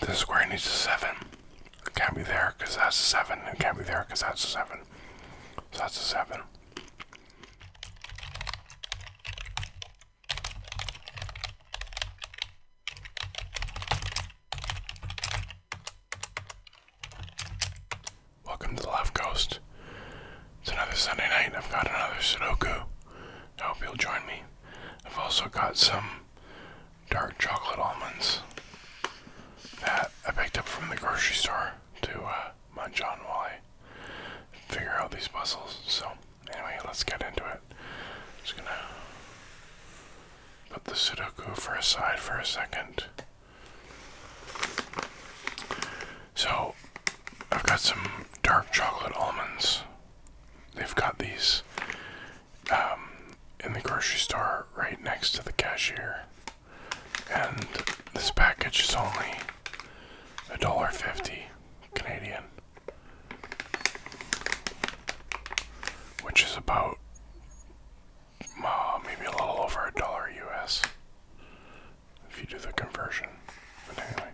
This square needs a 7. It can't be there because that's a 7. It can't be there because that's a 7. So that's a 7. Welcome to the Left Coast. It's another Sunday night. I've got another Sudoku. I hope you'll join me. I've also got some dark chocolate almonds that I picked up from the grocery store to uh, munch on while I figure out these puzzles. So, anyway, let's get into it. just gonna put the Sudoku for aside for a second. So, I've got some dark chocolate almonds. They've got these um, in the grocery store right next to the cashier. And this package is only a dollar fifty Canadian, which is about uh, maybe a little over a dollar US if you do the conversion. But anyway,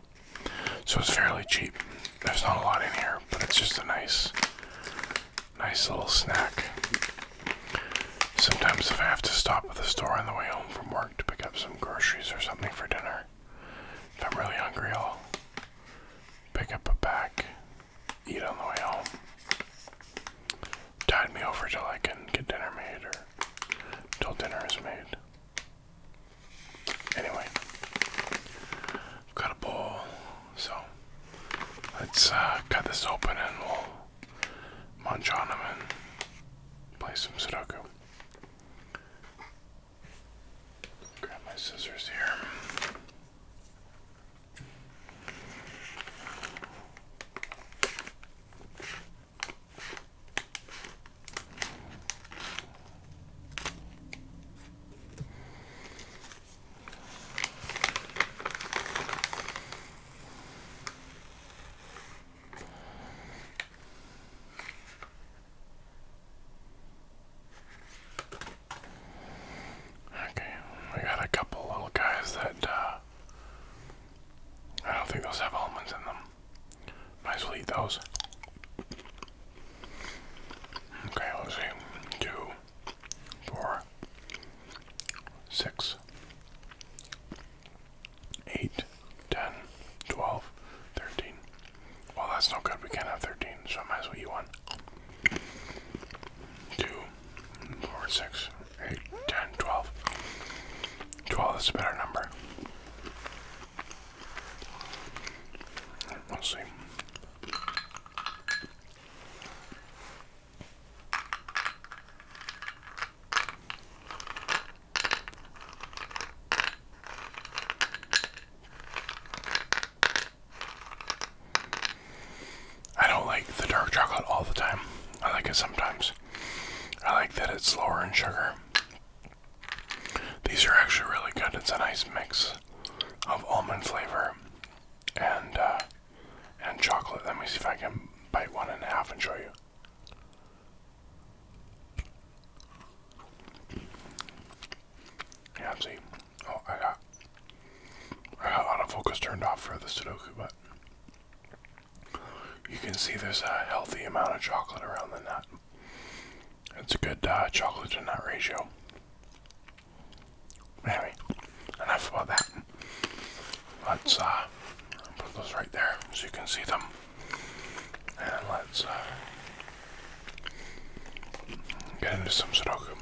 so it's fairly cheap. There's not a lot in here, but it's just a nice, nice little snack. Sometimes if I have to stop at the store on the way home from work to pick up some groceries or something for dinner, if I'm really hungry, I'll pick up a pack, eat on the way home tide me over till I can get dinner made or till dinner is made. Anyway, I've got a bowl, so let's uh, cut this open and we'll munch on them and play some Sudoku. Grab my scissors here. Okay, we got a couple little guys that uh, I don't think those have almonds in them. Might as well eat those. Okay, let's see. Two, four, six, eight, ten, twelve, thirteen. Well, that's no good. We can't have thirteen, so I might as well eat one. Two, four, six, 8, 12. 12 is a better number. We'll see. I don't like the dark chocolate all the time. I like it sometimes. I like that it's lower in sugar. These are actually really good. It's a nice mix of almond flavor and uh, and chocolate. Let me see if I can bite one and a half and show you. Yeah, see. Oh, I got I got autofocus turned off for the Sudoku, but you can see there's a healthy amount of chocolate around the nut. It's a good uh, chocolate to nut ratio. Anyway, enough about that. Let's uh, put those right there so you can see them. And let's uh, get into some Sudoku.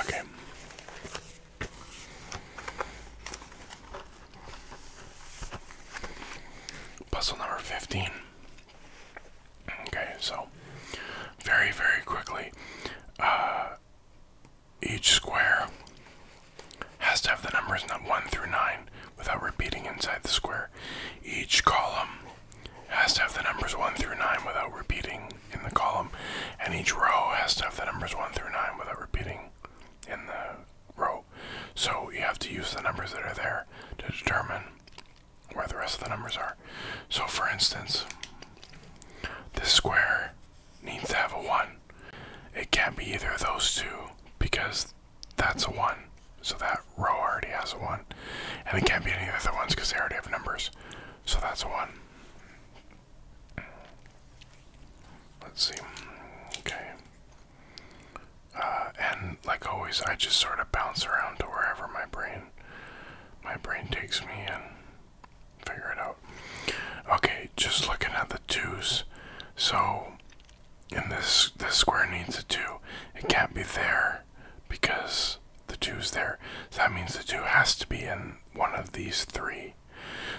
Okay. Puzzle number 15. Okay, so very, very quickly, uh, each square has to have the numbers 1 through 9 without repeating inside the square. Each column has to have the numbers 1 through 9 without repeating in the column, and each row has to have the numbers 1 through 9 without repeating in the row. So you have to use the numbers that are there to determine where the rest of the numbers are. So for instance, this square needs to have a 1. It can't be either of those two because that's a 1. So that row already has a 1. And it can't be any of the other ones because they already have numbers. So that's a 1. Let's see. Okay. Uh, and like always, I just sort of bounce around to wherever my brain, my brain takes me and figure it out. Okay, just looking at the twos. So and this this square needs a two. It can't be there because the two's there. that means the two has to be in one of these three.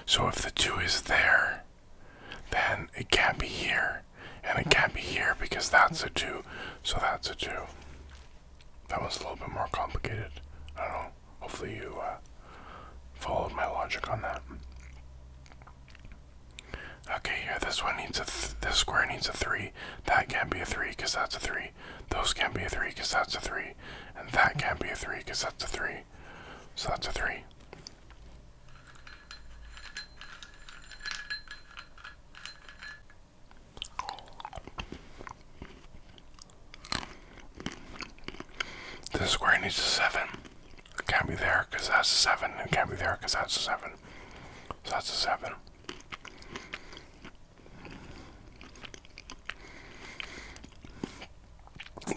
So if the two is there, then it can't be here. And it can't be here because that's a two. So that's a two. That was a little bit more complicated. I don't know. Hopefully you uh, followed my logic on that. Okay, here, this one needs a, this square needs a 3. That can't be a 3 because that's a 3. Those can't be a 3 because that's a 3. And that can't be a 3 because that's a 3. So that's a 3. This square needs a 7. It can't be there because that's a 7. It can't be there because that's a 7. So that's a 7.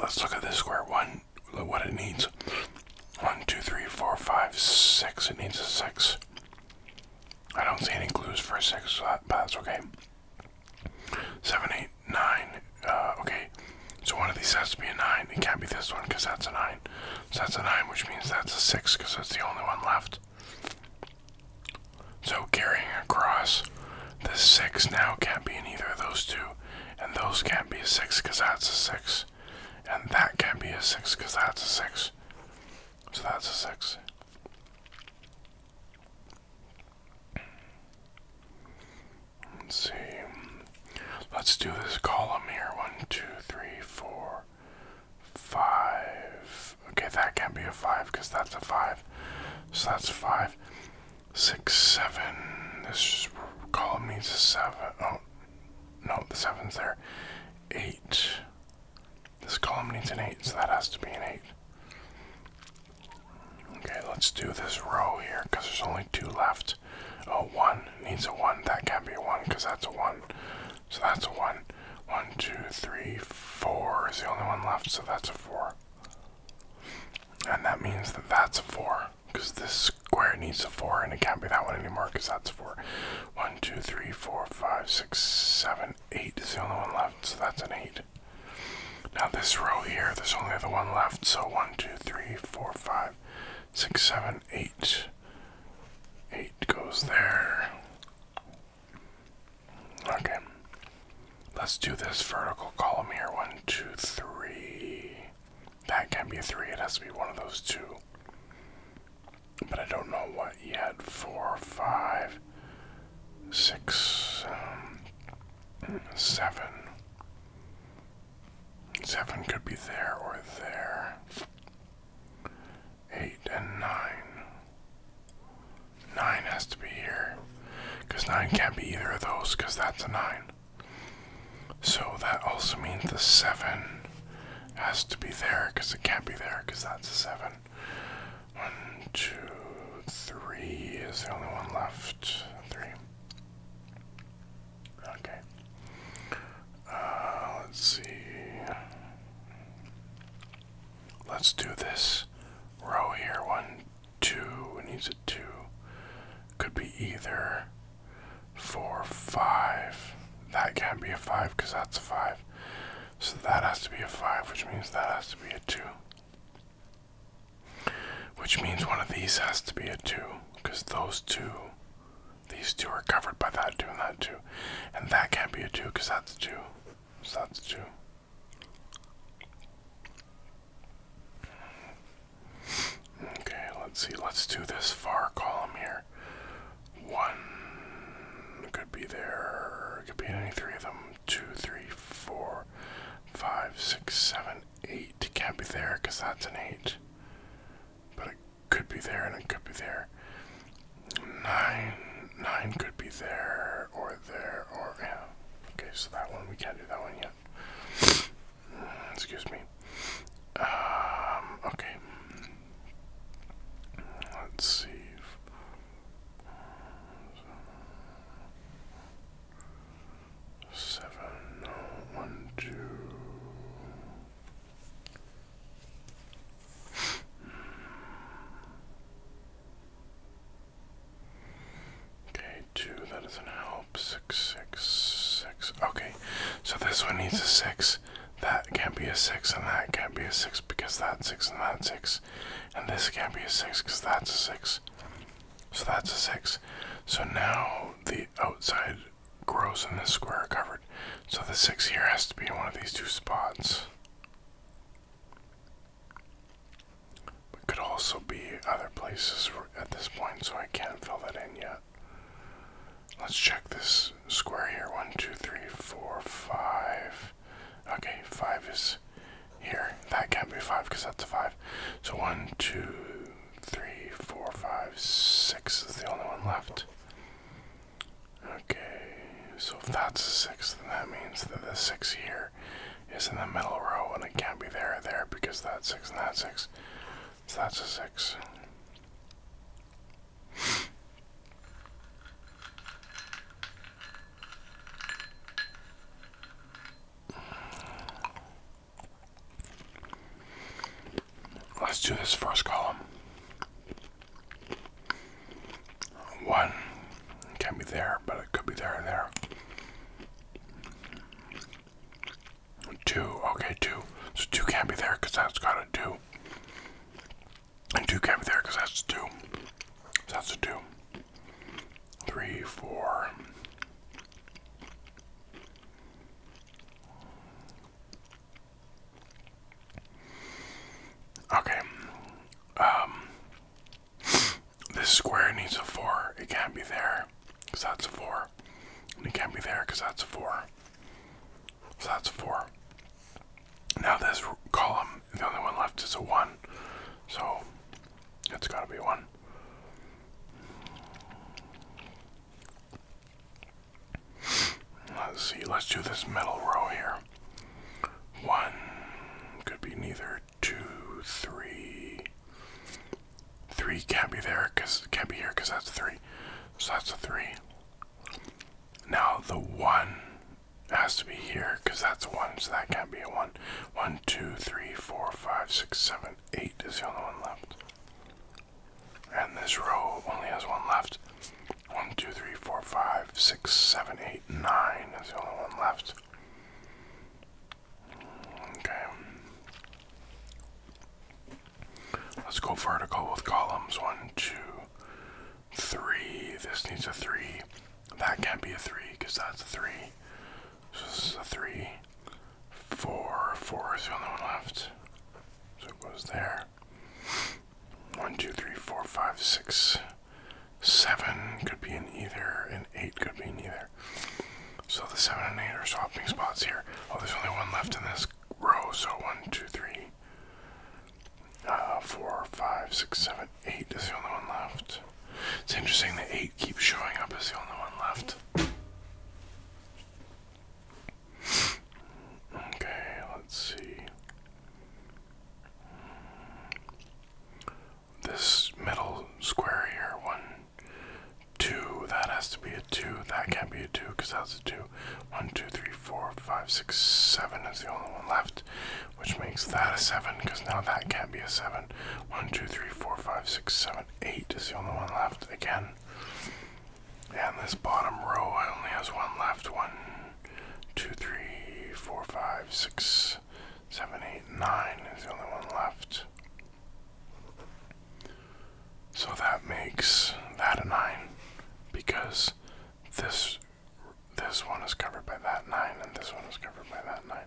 Let's look at this square. 1, look what it needs. One, two, three, four, five, six. It needs a 6. I don't see any clues for 6, but that's okay. 7, 8, nine. Uh, okay, so one of these has to be a nine. It can't be this one because that's a nine. So that's a nine, which means that's a six because that's the only one left. So carrying across, the six now can't be in either of those two, and those can't be a six because that's a six, and that can't be a six because that's a six. So that's a six. Let's see. Let's do this column here. One, two, three, four, five. Okay, that can't be a five because that's a five. So that's five, six, seven. This column needs a seven. Oh, no, the seven's there. Eight. This column needs an eight, so that has to be an eight. Okay, let's do this row here because there's only two left a 1 needs a 1. That can't be a 1 because that's a 1. So that's a 1. 1, 2, 3, 4 is the only one left, so that's a 4. And that means that that's a 4 because this square needs a 4 and it can't be that one anymore because that's a 4. 1, 2, 3, 4, 5, 6, 7, 8 is the only one left, so that's an 8. Now, this row here, there's only the one left, so 1, 2, 3, 4, 5 five, six, seven, eight. Eight goes there. Okay. Let's do this vertical column here. One, two, three. That can't be three. It has to be one of those two. But I don't know what yet. Four, five, six, um, seven. Seven could be there or there. Eight and nine. Nine has to be here. Because nine can't be either of those, because that's a nine. So that also means the seven has to be there, because it can't be there, because that's a seven. One, two, three is the only one left. Three. Okay. Uh, let's see. Let's do this row here. One, two. needs a two. Could be either four, five. That can't be a five because that's a five. So that has to be a five, which means that has to be a two. Which means one of these has to be a 2, because those two, these two are covered by that 2 and that 2. And that can't be a 2, because that's a 2. So that's a 2. Okay, let's see. Let's do this far column here. One could be there. Could be any three of them. Two, three, four, five, six, seven, 8 can't be there because that's an 8. But it could be there and it could be there. 9, 9 could be there or there or, yeah. Okay, so that one, we can't do that one yet. Excuse me. Um, okay. Let's see seven, oh, one, two. Okay, two, that doesn't help. Six, six, six. Okay, so this one needs a six. That can't be a six, and that can't be a six because that's six and that's six. And this can't be a six because that's a six. So that's a six. So now the outside grows and the square covered. So the six here has to be in one of these two spots. It could also be other places at this point, so I can't fill that in yet. Let's check this square here. One, two, three, four, five. Okay, five is here. That can't be five because that's a five. So one, two, three, four, five, six is the only one left. Okay, so if that's a six, then that means that the six here is in the middle row and it can't be there there because that's six and that's six. So that's a six. Let's do this first column. One can be there, but it could be there and there. Two, okay, two. So two got to 2 and 2 can not be there because that's got a two. And two can't be there because that's two. that's a two. Three, four. Okay. Um, this square needs a 4. It can't be there because that's a 4. it can't be there because that's a 4. So that's a 4. Now this column, the only one left is a 1. So it has gotta be one. Let's see, let's do this middle row here. One, could be neither, two, three. Three can't be there, cause can't be here, cause that's three. So that's a three. Now the one has to be here, cause that's one, so that can't be a one. One, two, three, four, five, six, seven, eight is the only one left. And this row only has one left. One, two, three, four, five, six, seven, eight, nine is the only one left. Okay. Let's go vertical with columns. One, two, three. This needs a three. That can't be a three because that's a three. So this is a three, four, four is the only one left. So it goes there. One, two, three, four, five, six, seven could be in either, and eight could be neither. So the seven and eight are swapping spots here. Oh, there's only one left in this row, so one, two, three, uh, four, five, six, seven, eight is the only one left. It's interesting that eight keeps showing up as the only one left. Okay, let's see. This middle square here, one, two, that has to be a two, that can't be a two because that's a two. One, two, three, four, five, six, seven is the only one left, which makes that a seven because now that can't be a seven. One, two, three, four, five, six, seven eight is the only one left again. And this bottom row only has one left. One, two, three, four, five, six, seven, eight, nine is the only one left. So that makes that a nine because this this one is covered by that nine and this one is covered by that nine.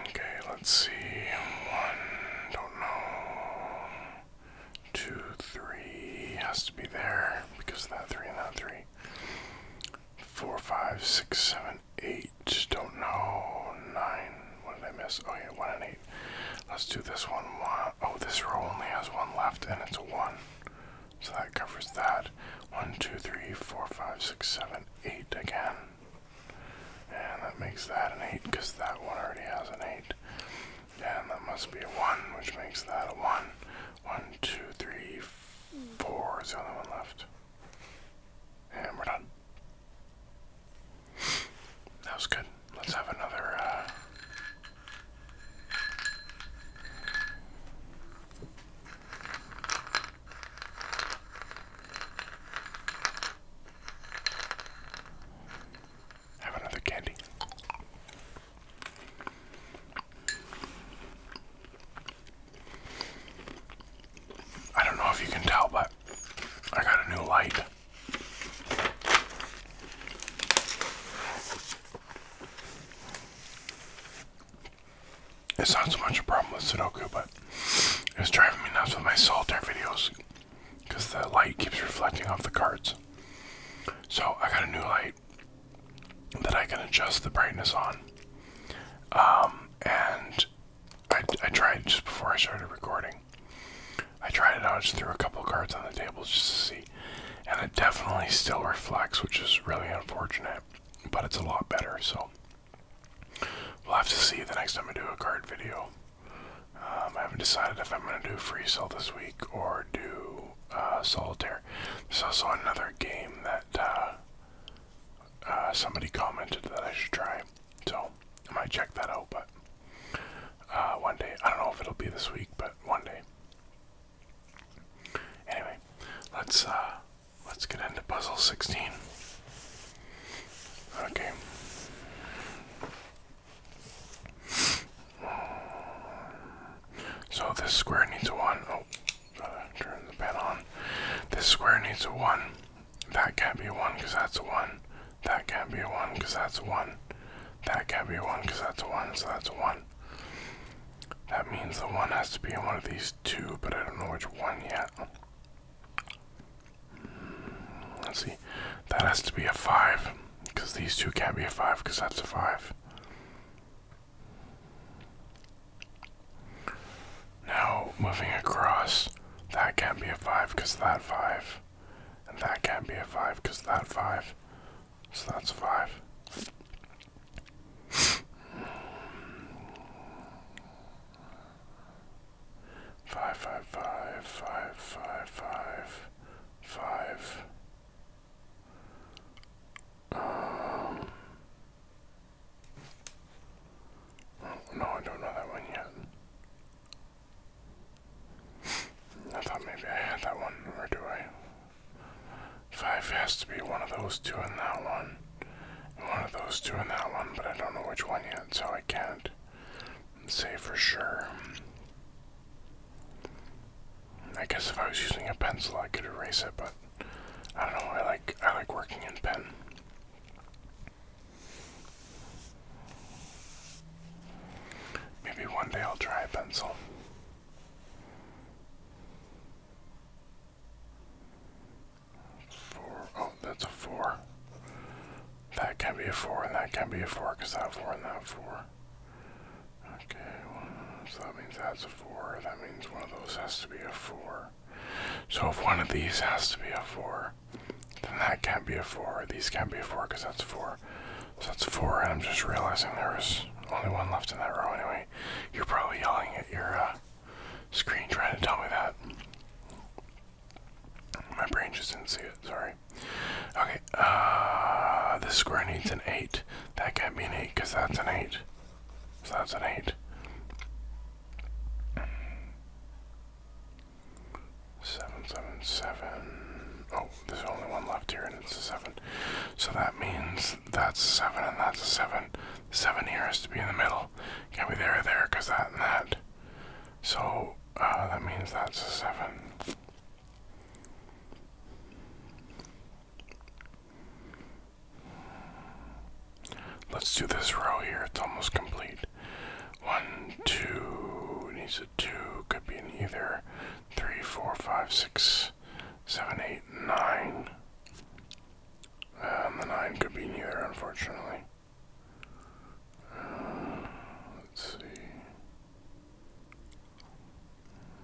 Okay, let's see. One, don't know. Two, three, has to be there because of that three and that three. Four, five, six, seven, eight, don't know. Nine, what did I miss? Oh yeah, one and eight. Let's do this one. one. Oh, this row only has one left and it's a one. So that covers that. One, two, three, four, five, six, seven, eight again. And that makes that an 8 because that one already has an 8. And that must be a 1, which makes that a 1. 1, 2, 3, 4 is the only one left. And we're done. That was good. Let's have another. Uh, have another candy. I don't know if you can tell, but I got a new light. It's not so much a problem with Sudoku, but it's driving me nuts with my solitaire videos because the light keeps reflecting off the cards. So I got a new light that I can adjust the brightness on. Um, and I, I tried just before I started recording. I tried it out, just threw a couple cards on the table just to see. And it definitely still reflects, which is really unfortunate, but it's a lot better. So We'll have to see the next time I do a card video. Um, I haven't decided if I'm going to do free cell this week or do uh, solitaire. There's also another game that uh, uh, somebody commented that I should try, so I might check that out. But one day, I don't know if it'll be this week, but one day. Anyway, let's Let's get into puzzle 16. Okay. So this square needs a 1. Oh, gotta turn the pen on. This square needs a 1. That can't be a 1 because that's a 1. That can't be a 1 because that's a 1. That can't be a 1 because that's 1, so that's a 1. That means the 1 has to be in one of these two, but I don't know which one yet. Let's see. That has to be a 5. Because these two can't be a 5 because that's a 5. Now, moving across, that can't be a 5 because that 5. And that can't be a 5 because that 5. So that's a 5. Five, five, five, five, five, five, five. Um, oh, no, I don't know that one yet. I thought maybe I had that one, or do I? Five has to be one of those two and that one one of those two in that one, but I don't know which one yet, so I can't say for sure. I guess if I was using a pencil, I could erase it, but I don't know. I like I like working in pen. Maybe one day I'll try a pencil. Four. Oh, that's a four. That can be a four, and that can be a four, because that four and that four. Okay, so that means that's a four. That means one of those has to be a four. So if one of these has to be a four, then that can't be a four. These can't be a four, because that's four. So that's four, and I'm just realizing there is only one left in that row anyway. You're probably yelling at your uh, screen trying to tell me that. My brain just didn't see it, sorry. Okay, uh, the square needs an 8. That can't be an 8 because that's an 8. So that's an 8. Seven, seven, seven. Oh, there's only one left here, and it's a seven. So that means that's a seven, and that's a seven. Seven here has to be in the middle. Can't be there, or there, because that and that. So uh, that means that's a 7. Let's do this row here. It's almost complete. 1, 2, needs a 2, could be neither. Three, four, five, six, seven, eight, nine. Um, and the 9 could be in either, unfortunately let's see.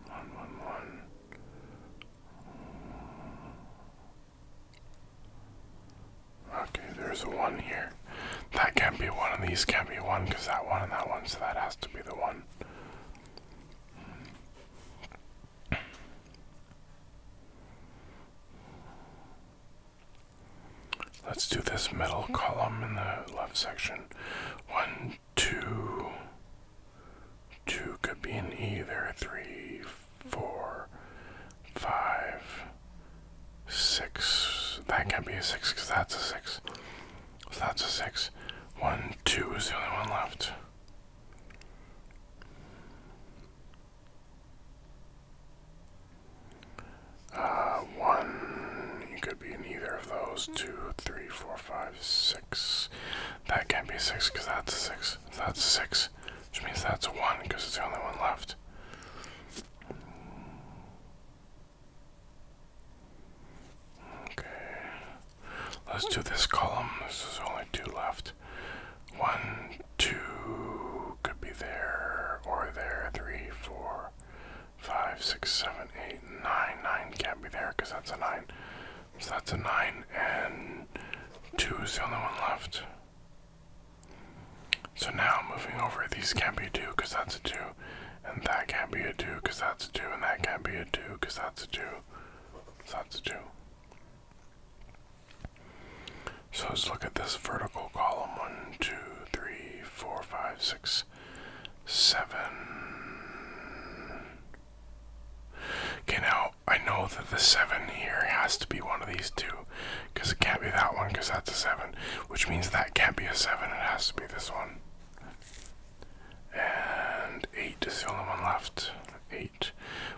One, one, one. Okay, there's a one here. That can't be one, of these can't be one because that one and that one, so that has to be the one. Let's do this middle column in the left section. One, two, two could be in either. Three, four, five, six. That can't be a six because that's a six. So that's a six. One, two is the only one left. Uh, one, It could be in either of those. Two, three, four, five, six. That can't be six because that's six. That's six, which means that's one because it's the only one left. Okay, let's do this column. This is only two left. One, two, could be there or there. Three, four, five, six, seven, eight, nine. Nine can't be there because that's a nine. So that's a nine, and two is the only one left. So now moving over, these can't be two because that's a two, and that can't be a two because that's a two, and that can't be a two because that's a two. So that's a two. So let's look at this vertical column. One, two, three, four, five, six, seven. Okay, now I know that the seven here has to be one of these two, because it can't be that one, because that's a seven, which means that can't be a seven. It has to be this one. And eight is the only one left. Eight,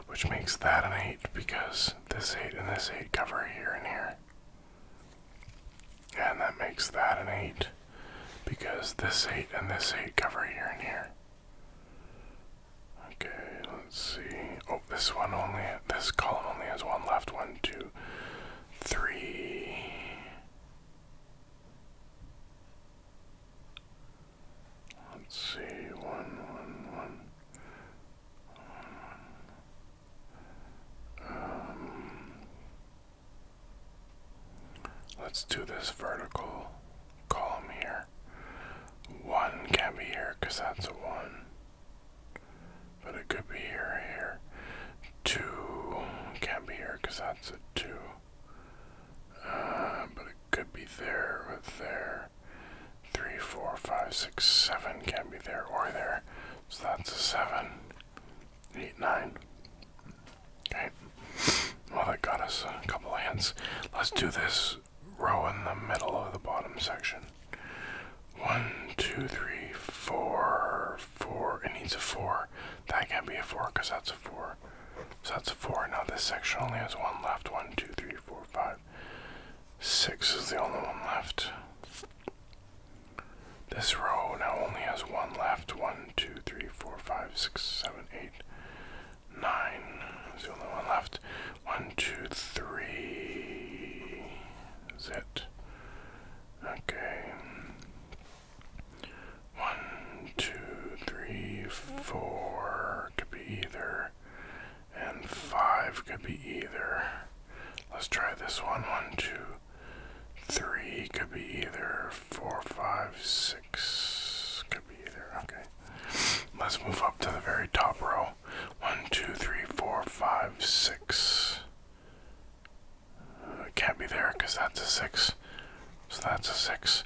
which makes that an eight because this eight and this eight cover here and here. And that makes that an eight because this eight and this eight cover here and here. Okay, let's see. Oh, this one only this column only has one left. One, two, three. Let's see. One, one, one, um, let's do this vertical column here. One can be here because that's a one. But it could be here, here. Two can be here because that's a two. Uh, but it could be there or there. Three, four, five, six, seven can't be there or there. So that's a seven. Eight, nine. Okay. Well, that got us a couple of hints. Let's do this row in the middle of the bottom section. One, two, three, four, four. It needs a four. That can't be a four because that's a four. So that's a four. Now this section only has one left. One, two, three, four, five. Six is the only one left. This row now only has one left. One, two, three, four, five, six, seven, eight, nine is the only one left. One, two, three is it. Okay. One, two, three, four. Could be either and five could be either. Let's try this one. One, two, three could be either. Four, five, six could be either. Okay. Let's move up to the very top row. One, two, three, four, five, six. Uh, it can't be there because that's a six. So that's a six.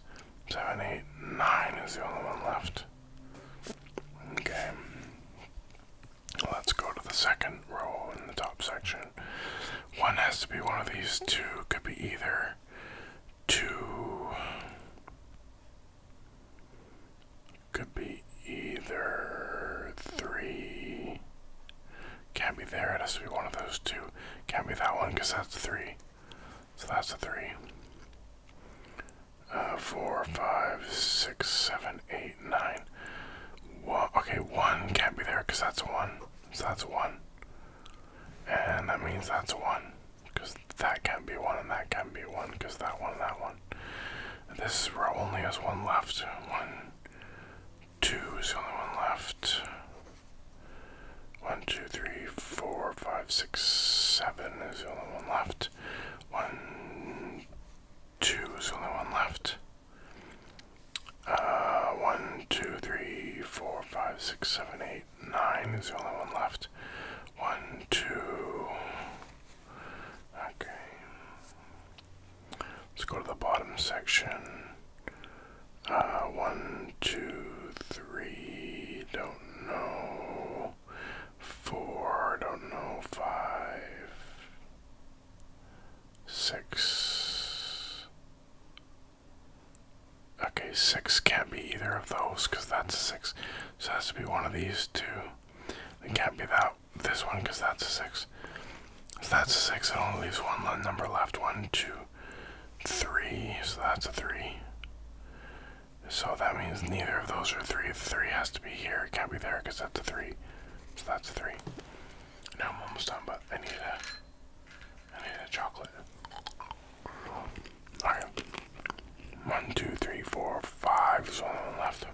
Seven, eight, nine is the only one left. Okay. Let's go to the second row in the top section. One has to be one of these two. Could be either two. Could be either three. Can't be there. It has to be one of those two. Can't be that one because that's three. So that's a three uh, four, five, six, seven, eight, nine. One, okay, one can't be there because that's one. So that's one. And that means that's one. Because that can't be one, and that can't be one, because that one, and that one. this row only has one left. One, two is the only one left. One, two, three, four, five, six, seven is the only one left. One, two, there's only one left. Uh, one, two, three, four, five, six, seven, eight, nine is the only one left. One, two. Okay. Let's go to the bottom section. Uh, one, two, three. Don't know four, I don't know, five, six. Okay, six can't be either of those because that's a six. So it has to be one of these two. It can't be that this one because that's a six. So that's a six. It only leaves one number left. One, two, three. So that's a three. So that means neither of those are three. three has to be here. It can't be there because that's a three. So that's a three. Now I'm almost done, but I need a, I need a chocolate. Alright. One, two, three, four, five. There's only one left.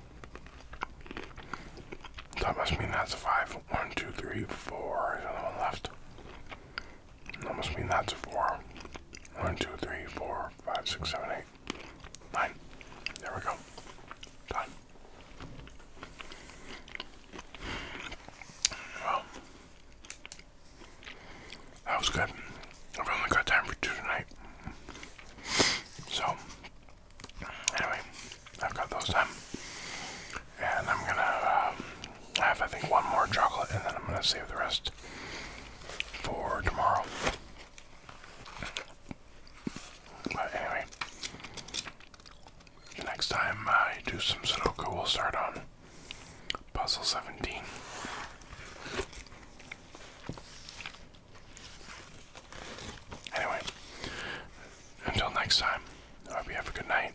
That must mean that's a five. One, two, three, four. There's one left. That must mean that's a four. One, two, three, four, five, six, seven, eight. Nine. There we go. Done. Well, that was good. I've only got time for two tonight. So, anyway, I've got those done. And I'm gonna um, have, I think, one more chocolate and then I'm gonna save the rest for tomorrow. But anyway, next time I do some Sudoku, we'll start on Puzzle 17. Anyway, until next time, I hope you have a good night.